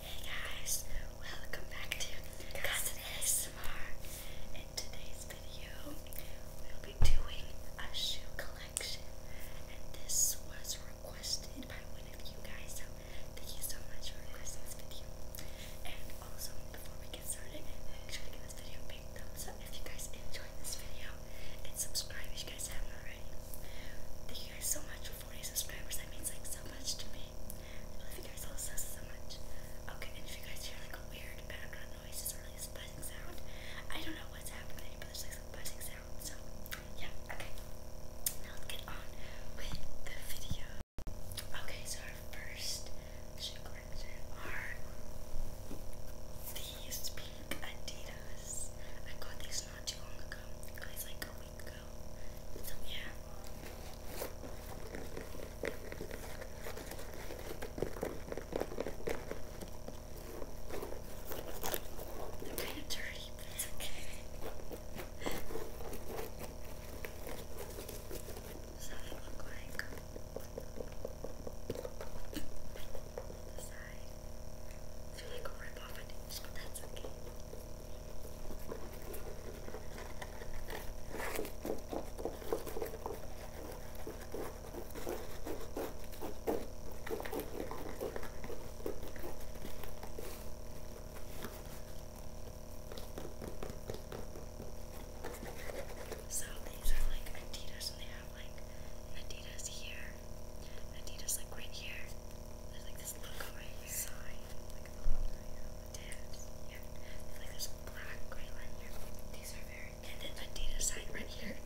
Hey guys, welcome back to Cousin In today's video, we'll be doing a shoe collection, and this was requested by one of you guys. So thank you so much for requesting this video. And also, before we get started, make sure to give this video a big thumbs up if you guys enjoyed this video, and subscribe if you guys haven't already. Thank you guys so much for 40 subscribers, that means like so much to me. I love you guys all so, so much. Okay, and if you guys hear like a weird background noise, it's really a buzzing sound. I don't know what's happening, but there's like some buzzing sound. So, yeah, okay. Now let's get on with the video. Okay, so our first shoe collection are these pink Adidas. I got these not too long ago. Guys, like go. So yeah. I'm kind dirty, but it's okay. Does that look like? The side. they like rip off, I think, but that's okay. So these are like Adidas and they have like an here Adidas like right here. There's like this logo right here. Sign. Like a little dance. Yeah. It's like this black gray line here. These are very and then Adidas sign right here.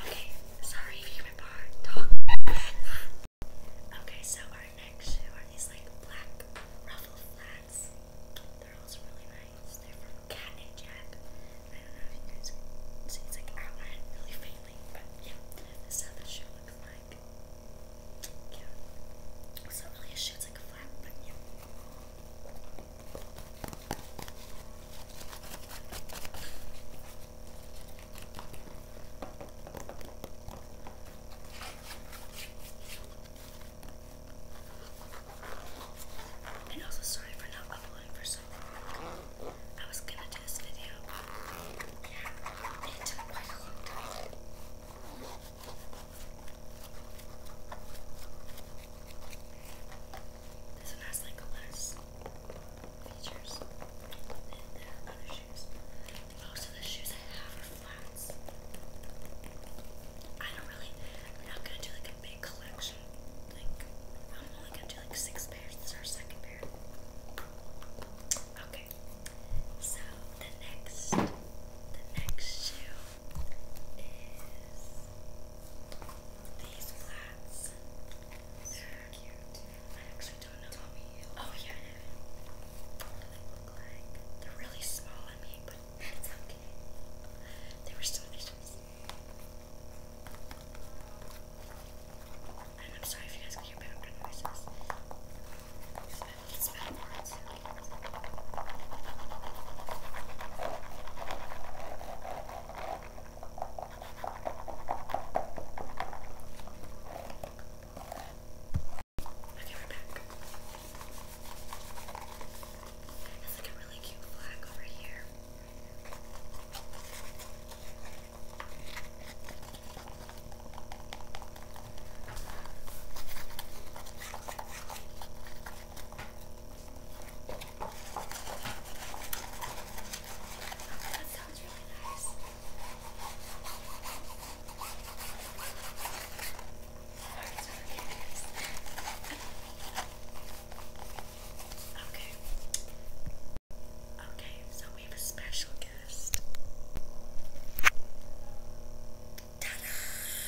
Okay, sorry if my bar talk. Okay, so our next shoe are these like black ruffle flats. They're also really nice. They're from Cat and Jack. I don't know if you guys can see. It's like outlined really faintly, but yeah. This is how the shoe looks like. It's not really a shoe, it's like a flap, but yeah. And also sorry for not uploading for so long. I was gonna do this video. It took a long time. This one has like less features than the other shoes. Most of the shoes I have flats. I don't really, I'm not gonna do like a big collection. Like, I'm only gonna do like six pairs. This our second pair. Okay, so the next, the next shoe is these flats. They're cute. I actually don't know. Tell me. Oh yeah. What they look like. They're really small on me but it's okay. They were so delicious. And I'm sorry if you guys can hear background noises. It's bad words. Okay, we're back. There's like a really cute flag over here. That sounds really nice. Okay. Okay, so we have a special guest.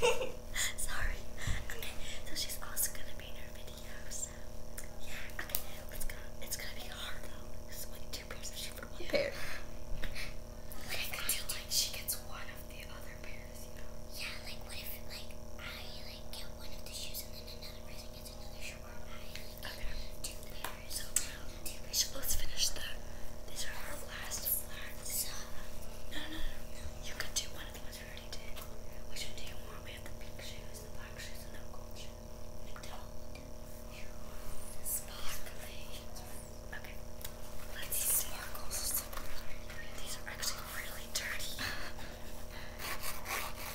Sorry. Okay, so she's also gonna be in her video, so yeah, okay, it's gonna it's gonna be hard though. It's like two pairs of shoes for one yeah. pair. But I feel like she gets one of the other pairs, you know? Yeah, like what if like I like get one of the shoes and then another person gets another shoe or I get two pairs. So let's finish the these are our last flats. no no no You could do one of the ones we already did. Which one do you We have the pink shoes, the black shoes, and the gold shoes. Sparkly. Okay. Let's These see. sparkles. These are actually really dirty. They're flower.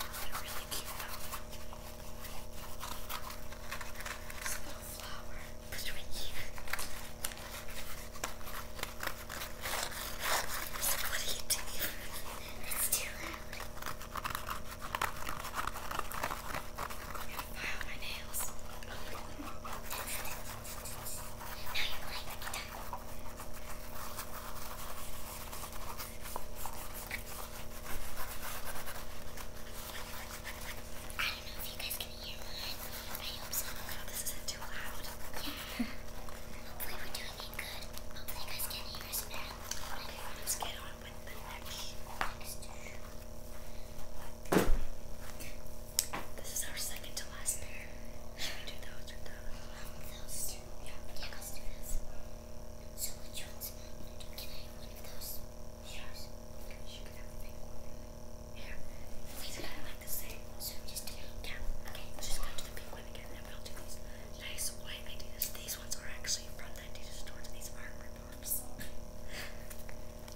Put here. what are you doing? It's too loud. Wow, my nails. now you like it. I don't know if you guys can hear mine. I hope so. Oh, this isn't too loud. Yeah. Hopefully we're doing it good. Hopefully you guys can hear us better. Okay, let's get on this is our second to last pair. Should we do those or those? Those two. Yeah. Yeah, let this. So which ones? Can I have one of those? Sure. the pink one. Here. These are like the same. So just do Okay. just go to the pink one again and we'll do these nice white ideas. These ones are actually from the Adidas store. These are ripoffs.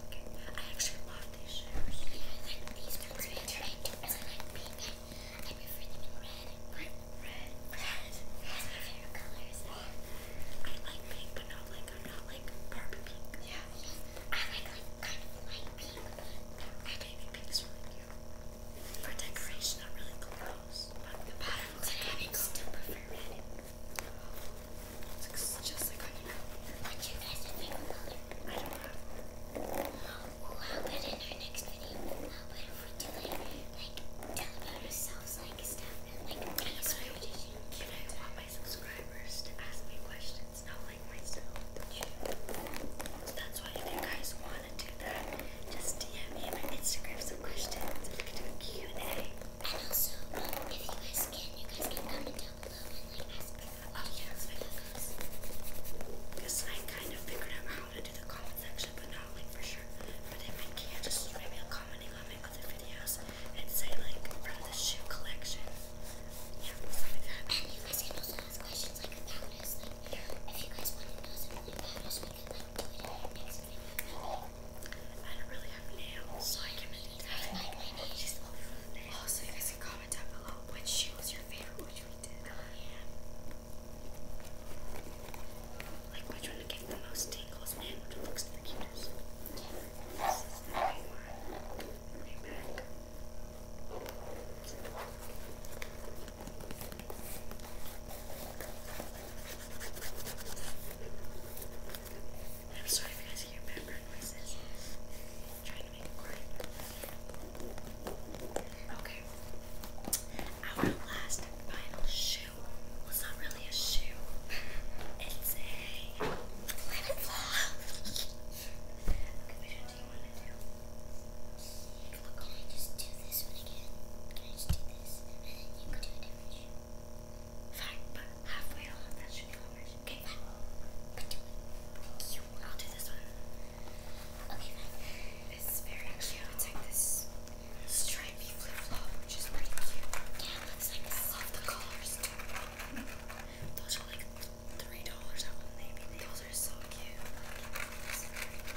okay. I actually love these shoes. Yeah, I like these ones are I like pink. I prefer them red. Red, red, red. That's colors. I like pink, but not like I'm not like Barbie pink. Yeah. I like like kind of light pink. But baby pink is really cute. For decoration, not really cool house. But the pattern was red. I still prefer red. It's just like onion. What's your guys' favorite color? I don't know. Well, how about in our next video? How about if we do like, like, tell about ourselves, like, stuff, like, what did? Can I want my subscribers to ask me questions, not like myself? That's why you guys want want to do that, just DM me on Instagram some questions we can do a Q&A. And also, if you guys can, you guys can comment below Oh yeah, that's my Because I kind of figured out how to do the comment section, but not like for sure. But if I can, just maybe commenting on my other videos and say like from the shoe collection. Yeah, stuff like that. And you guys can also questions like about Like, if you guys want to know something we can like do it I don't really have nails, so I can make that. Also, you guys can comment down below which shoe was your favorite, which we did. Yeah. Like which one to get the most tingles and which one looks the cutest. Yeah. This is the right one. Right back. I'm sorry if you guys hear background noises. I'm trying to make it quiet. Okay. Our last final shoe was not really a shoe. It's a let it fall. Okay, do you want to well, can I just do this one again? Can I just do this? And then you can do a different shoe. Fine, but halfway along, that should be over. Okay, fine. But do it. You, I'll do this one. Okay, fine. This is very cute. It's like this stripy flip flop, which is pretty cute. Yeah, it looks like I love the colors too. Those are like three dollars at Old Navy. Those are so cute. Like,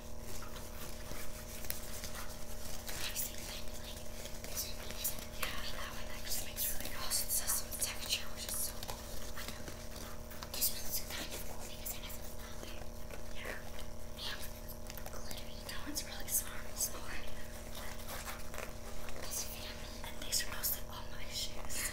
Yeah, that one actually makes really awesome awesome texture, which is so cool. I know. This one's kind of cool because it has a flower. Yeah. And glittery. That one's really smart. Smart. This fit on me. And these are mostly all my shoes.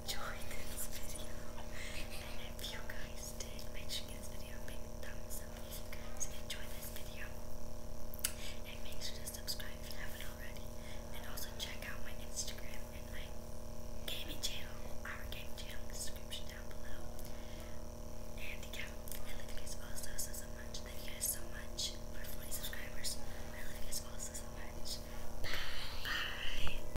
enjoyed this video. And if you guys did, make sure give this video a big thumbs up if you guys this video. And make sure to subscribe if you haven't already. And also check out my Instagram and my gaming channel, our gaming channel description down below. And yeah, you guys also so so much. Thank you guys so much for 40 subscribers. I love you guys also so much. Bye. Bye.